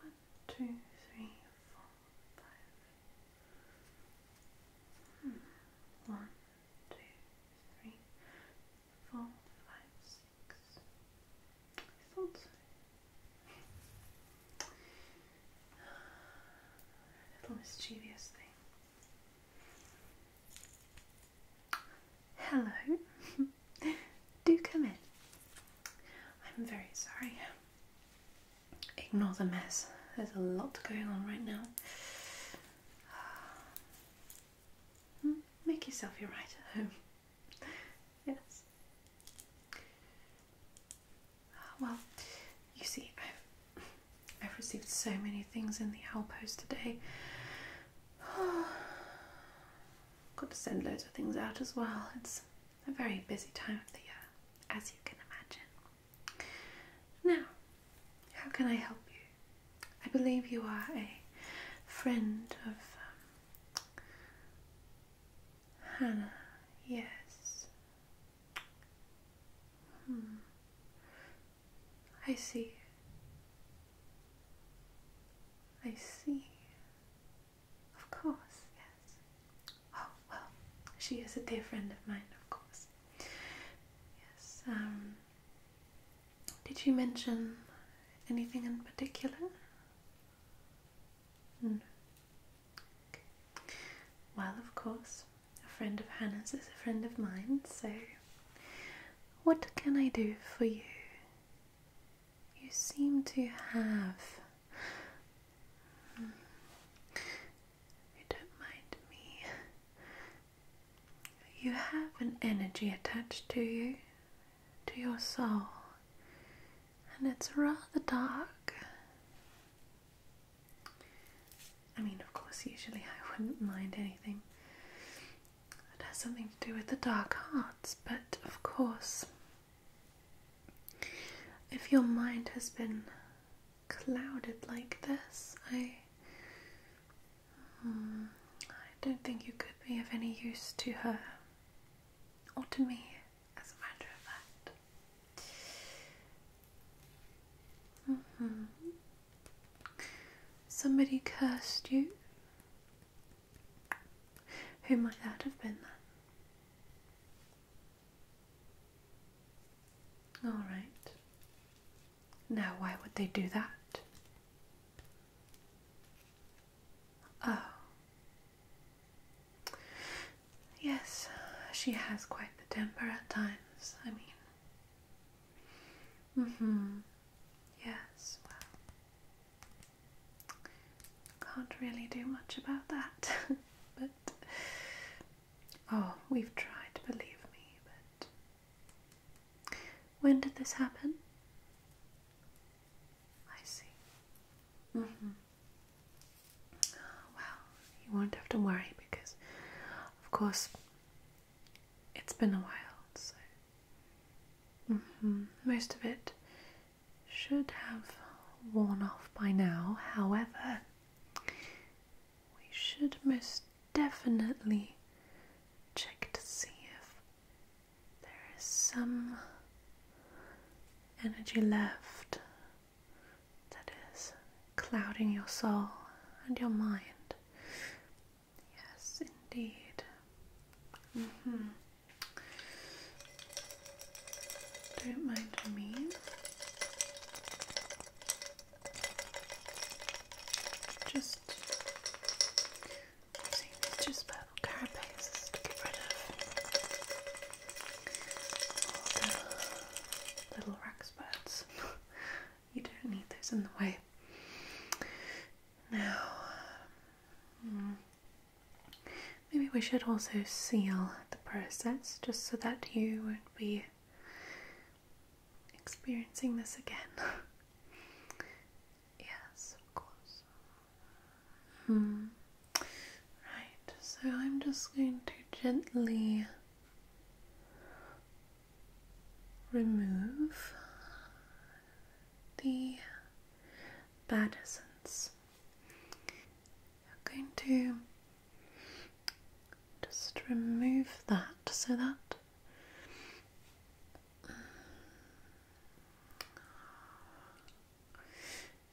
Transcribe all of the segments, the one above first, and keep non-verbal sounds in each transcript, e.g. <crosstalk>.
One, two, three, four, five. One, two, three, four, five, six. <sighs> little mischievous thing. Hello, <laughs> do come in. I'm very sorry. Ignore the mess, there's a lot going on right now. <sighs> Hmm, make yourself your writer home. <laughs> Yes. <sighs> Well, you see, I've I've received so many things in the owl post today. <sighs> Got to send loads of things out as well. It's a very busy time of the year, as you can imagine. Now, how can I help you? I believe you are a friend of um, Hannah. Yes. Hmm. I see. I see. Of course, yes. Oh, well, she is a dear friend of mine, of course. Yes, um, did you mention anything in particular? Well, of course, a friend of Hannah's is a friend of mine, so what can I do for you? You seem to have. Hmm. You don't mind me. You have an energy attached to you, to your soul, and it's rather dark. I mean, of course, usually I wouldn't mind anything it has something to do with the dark arts, but of course, if your mind has been clouded like this, I, hmm, I don't think you could be of any use to her or to me, as a matter of fact. Mm Somebody cursed you? Who might that have been then? All right. Now, why would they do that? Oh. Yes, she has quite the temper at times. I mean, Mm-hmm. Yes, well, can't really do much about that, <laughs> but oh, we've tried, believe me, but when did this happen? I see. Mm-hmm. well, you won't have to worry because, of course, it's been a while, so mm-hmm, most of it should have worn off by now. However, we should most definitely check to see if there is some energy left that is clouding your soul and your mind. Yes, indeed. Mm-hmm. Don't mind me. Just using these just purple carapaces to get rid of little, little <laughs> You don't need those in the way. Now, um, maybe we should also seal the process just so that you won't be experiencing this again. <laughs> yes, of course. Hmm. Right, so I'm just going to gently remove the bad essence. I'm going to just remove that so that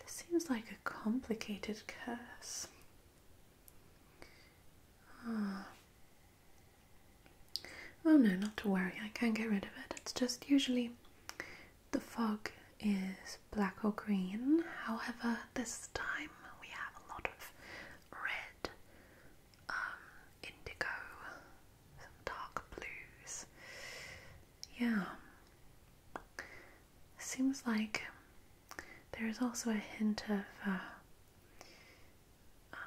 this seems like a complicated curse. Ah. Oh no, not to worry, I can get rid of it. It's just usually the fog is black or green, however, this time we have a lot of red, um, indigo, some dark blues. Yeah. Seems like there is also a hint of uh, um,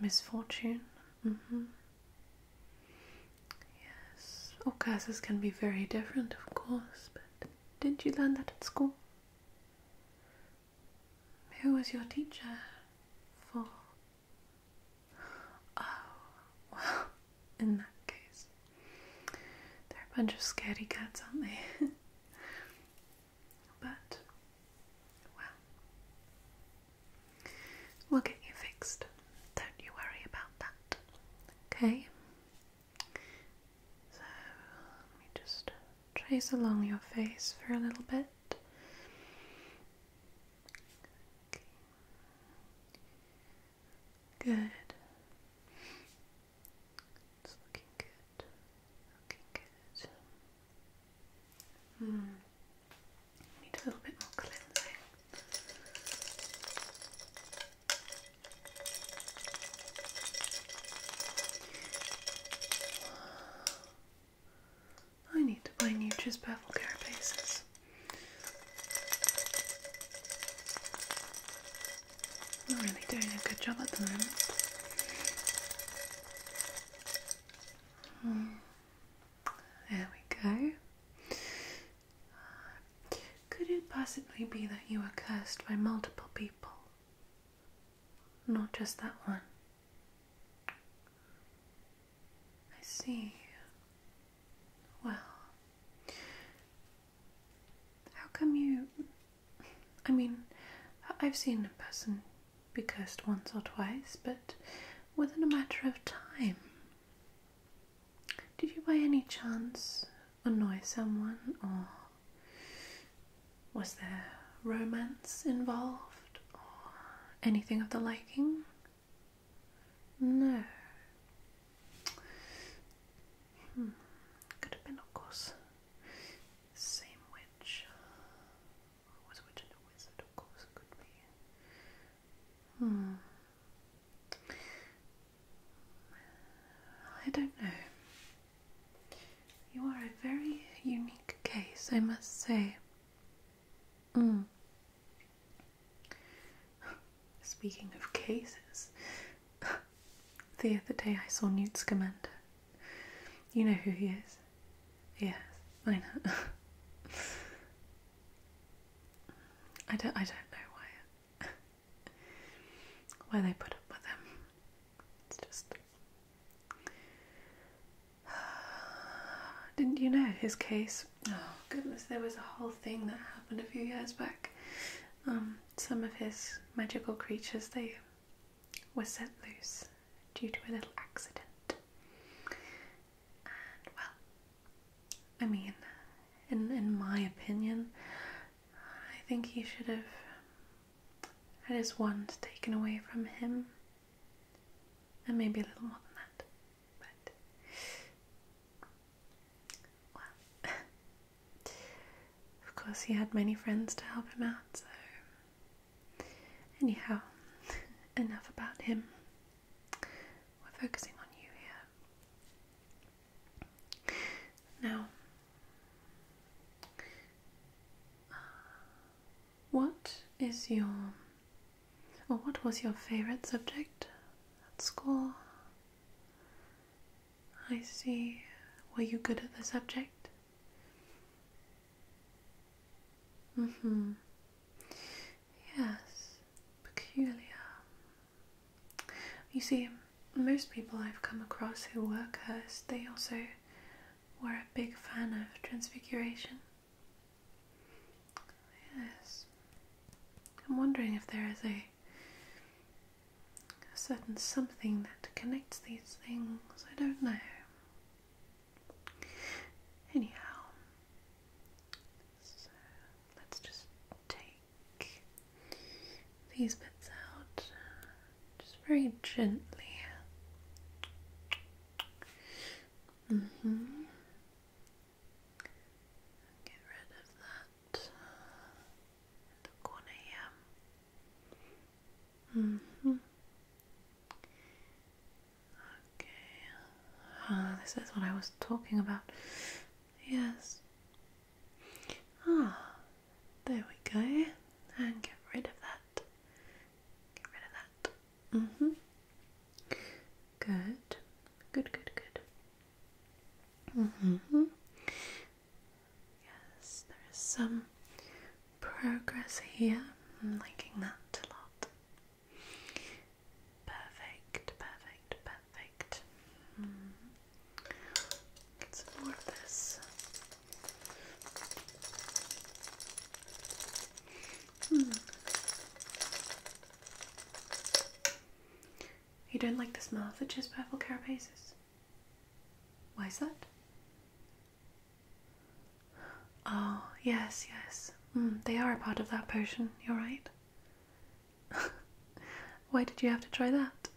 misfortune. Mm -hmm. Yes, all can be very different, of course, but did you learn that at school? Who was your teacher for? Oh, well, <laughs> in that case, they're a bunch of scary cats, aren't they? <laughs> But, well, we'll get you fixed. Don't you worry about that. Okay? So, let me just trace along your face for a little bit. Good. It's looking good. Okay, good. Hmm. Need a little bit more cleansing. I need to buy new Nutra's Purple Carapaces. I'm really doing a good job at the moment. There we go. Could it possibly be that you are cursed by multiple people? Not just that one. I see. Well, how come you. I mean, I've seen a person be cursed once or twice, but within a matter of time. Did you by any chance annoy someone, or was there romance involved, or anything of the liking? No. Hmm. Could have been, of course, same witch was a witch wizard, of course could be. Hmm. I don't know. You are a very unique case, I must say. Mm. Speaking of cases, <laughs> the other day I saw Newt Scamander you know who he is? Yes, I know. I don't. I don't know why. why they put up with him? It's just. Didn't you know his case? Oh goodness, there was a whole thing that happened a few years back. Um, some of his magical creatures they was set loose due to a little accident. And well, I mean, in in my opinion, I think he should have had his wand taken away from him, and maybe a little more than that. But well, <laughs> of course, he had many friends to help him out, so Anyhow, <laughs> enough about him. We're focusing on you here. Now, what is your, or what was your favourite subject at school? I see. Were you good at the subject? Mm-hmm. Yes, peculiar. You see, most people I've come across who work cursed, they also were a big fan of transfiguration. Yes. I'm wondering if there is a certain something that connects these things. I don't know. Anyhow, so let's just take these bits out just very gently. Mm-hmm. Get rid of that in the hmm. Okay, ah, this is what I was talking about. Yes. Ah, there we go. And get rid of that. Get rid of that. Mm hmm. Good. Good, good, good. Mm hmm. Yes, there is some progress here. I'm liking that a lot. Perfect, perfect, perfect. Hmm. Get some more of this. Hmm. You don't like the smell of the chisperbal carapaces? Why is that? Oh, yes, yes. Mm, they are a part of that potion, you're right. <laughs> Why did you have to try that?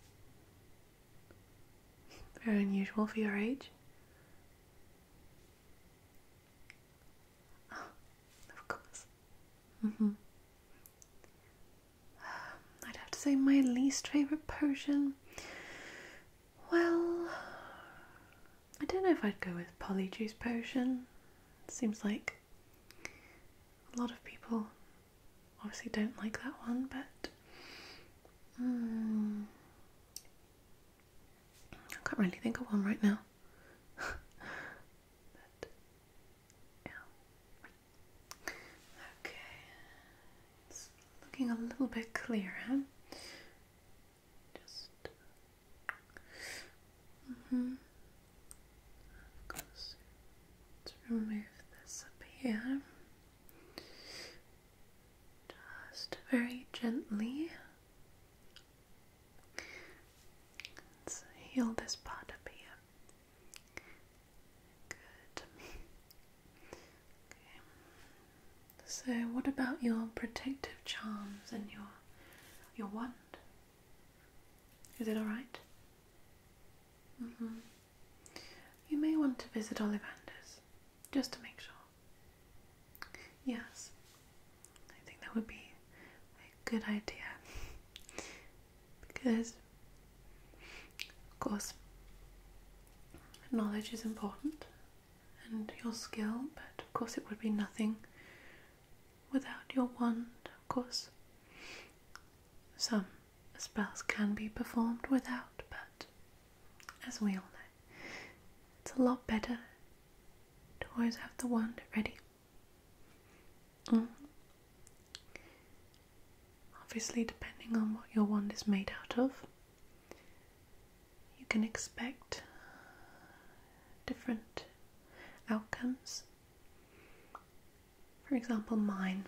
Very unusual for your age. Ah, of course. Mm hmm. <sighs> I'd have to say my least favorite potion. Well, I don't know if I'd go with Polyjuice Potion. Seems like a lot of people obviously don't like that one, but hmm. I can't really think of one right now. <laughs> Okay, it's looking a little bit clearer. Just. Mm hmm. Let's remove this up here. Just very gently. Let's heal this part up here. Good. <laughs> Okay. So, what about your protective charms and your your wand? Is it all right? Mm-hmm. You may want to visit Olivanders, just to make sure. Yes, I think that would be a good idea because, of course, knowledge is important and your skill, but of course it would be nothing without your wand, of course. Some spells can be performed without, but as we all know, it's a lot better to always have the wand ready. Mm. Obviously, depending on what your wand is made out of, you can expect different outcomes. For example, mine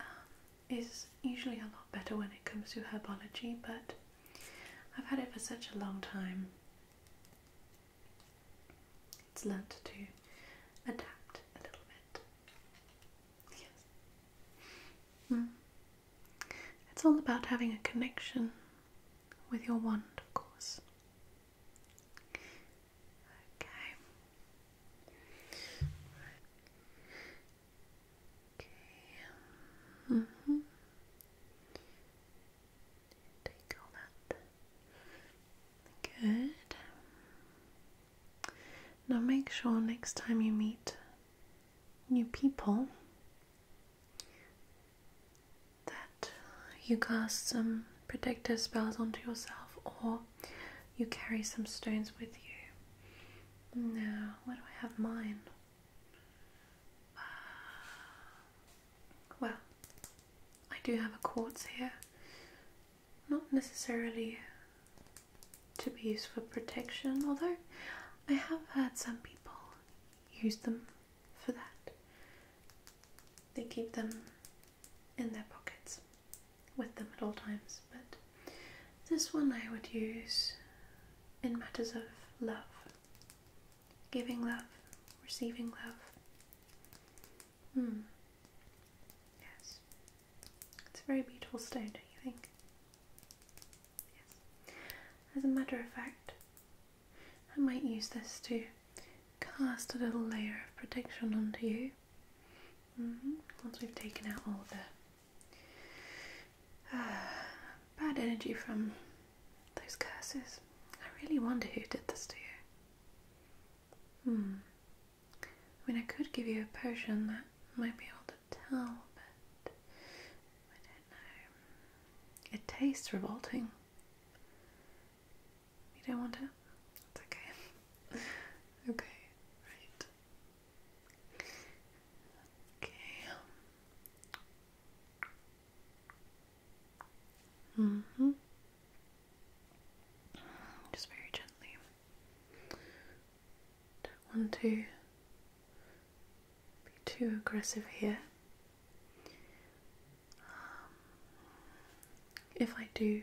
um, is usually a lot better when it comes to herbology, but I've had it for such a long time. It's learnt to adapt a little bit. Yes. Mm. It's all about having a connection with your wand, of course. Okay. Okay. hmm Take all that. Good. Now make sure next time you meet new people that you cast some protective spells onto yourself or you carry some stones with you. Now, where do I have mine? Uh, well, I do have a quartz here. Not necessarily to be used for protection, although I have had some people people use them for that. They keep them in their pockets with them at all times, but this one I would use in matters of love giving love, receiving love. Hmm. Yes. It's a very beautiful stone, don't you think? As a matter of fact, I might use this to cast a little layer of protection onto you. Mm-hmm. Once we've taken out all the uh, bad energy from those curses, I really wonder who did this to you. Hmm. I mean, I could give you a potion that might be able to tell, but I don't know. It tastes revolting. You don't want to? It's okay. <laughs> okay, right. Okay. Mm hmm. Just very gently. Don't want to be too aggressive here. Um, if I do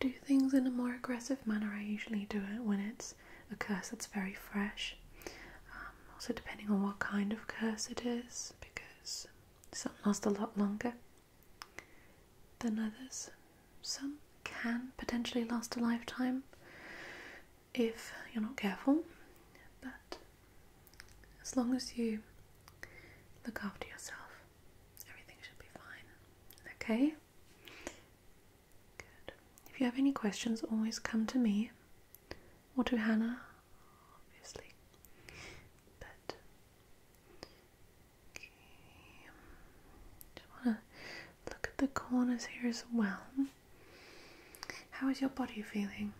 do things in a more aggressive manner, I usually do it when it's a curse that's very fresh. Um, also, depending on what kind of curse it is, because some last a lot longer than others. Some can potentially last a lifetime, if you're not careful, but as long as you look after yourself, everything should be fine. Okay? If you have any questions, always come to me or to Hannah, obviously. But just want to look at the corners here as well. How is your body feeling?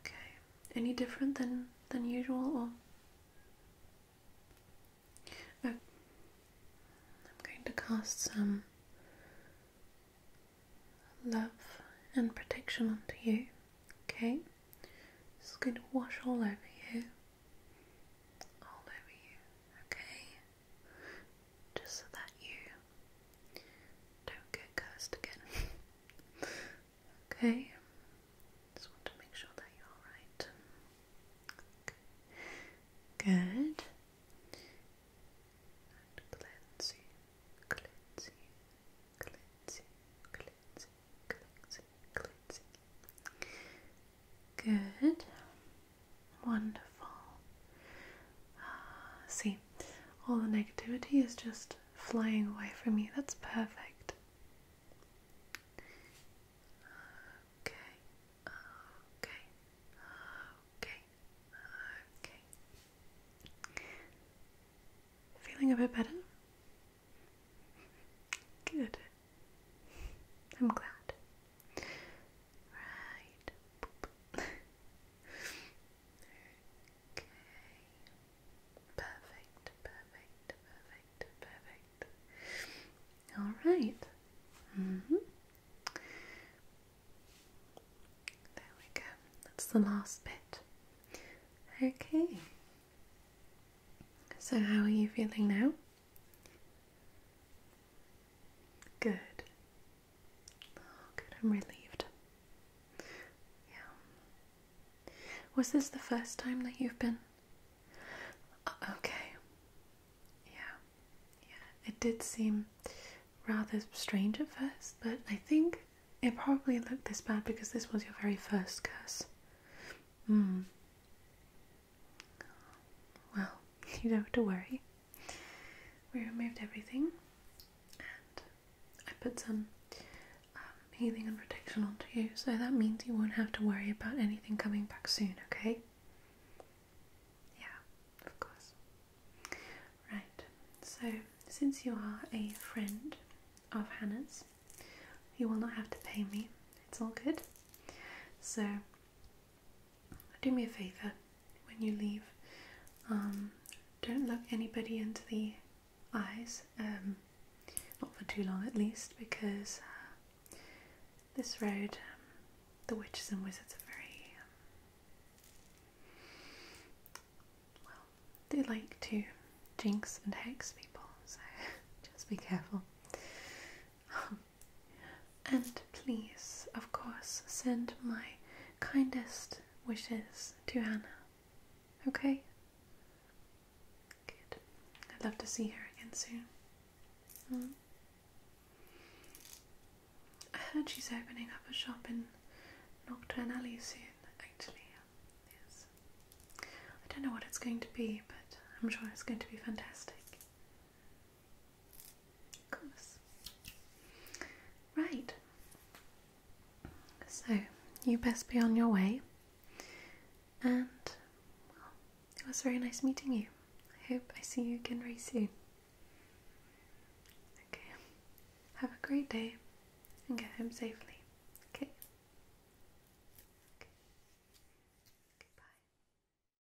Okay. Any different than than usual or oh. I'm going to cast some love and protection onto you. Okay? It's going to wash all over you. All over you. Okay? just so that you don't get cursed again. <laughs> okay, just want to make sure that you're alright. Good. Good. Wonderful. Ah, see, all the negativity is just flying away from you. That's perfect. Okay, okay, okay, okay. Feeling a bit better? Good. I'm glad. Right. okay. Perfect, perfect, perfect, perfect. All right. Mm hmm There we go. That's the last bit. Okay. So, how are you feeling now? Good. good. I'm relieved. Yeah. Was this the first time that you've been? Uh, okay. Yeah. Yeah. It did seem rather strange at first, but I think it probably looked this bad because this was your very first curse. Mm. Well, <laughs> you don't have to worry. We removed everything and I put some um, healing and protection onto you, so that means you won't have to worry about anything coming back soon, okay? Yeah, of course. Right, so since you are a friend of Hannah's, you will not have to pay me. It's all good. So do me a favor when you leave. Um, don't look anybody into the eyes, um, not for too long at least, because uh, this road, um, the witches and wizards are very. Um, well, they like to jinx and hex people, so <laughs> just be careful. Um, and please, of course, send my kindest wishes to Hannah. Okay? Good. I'd love to see her again soon. Hmm. I heard she's opening up a shop in Nocturne Alley soon, actually. Yes. I don't know what it's going to be, but I'm sure it's going to be fantastic. Goodness. Right. So you best be on your way. And it was very nice meeting you. I hope I see you again very soon. Okay. Have a great day and get home safely. Okay. okay. okay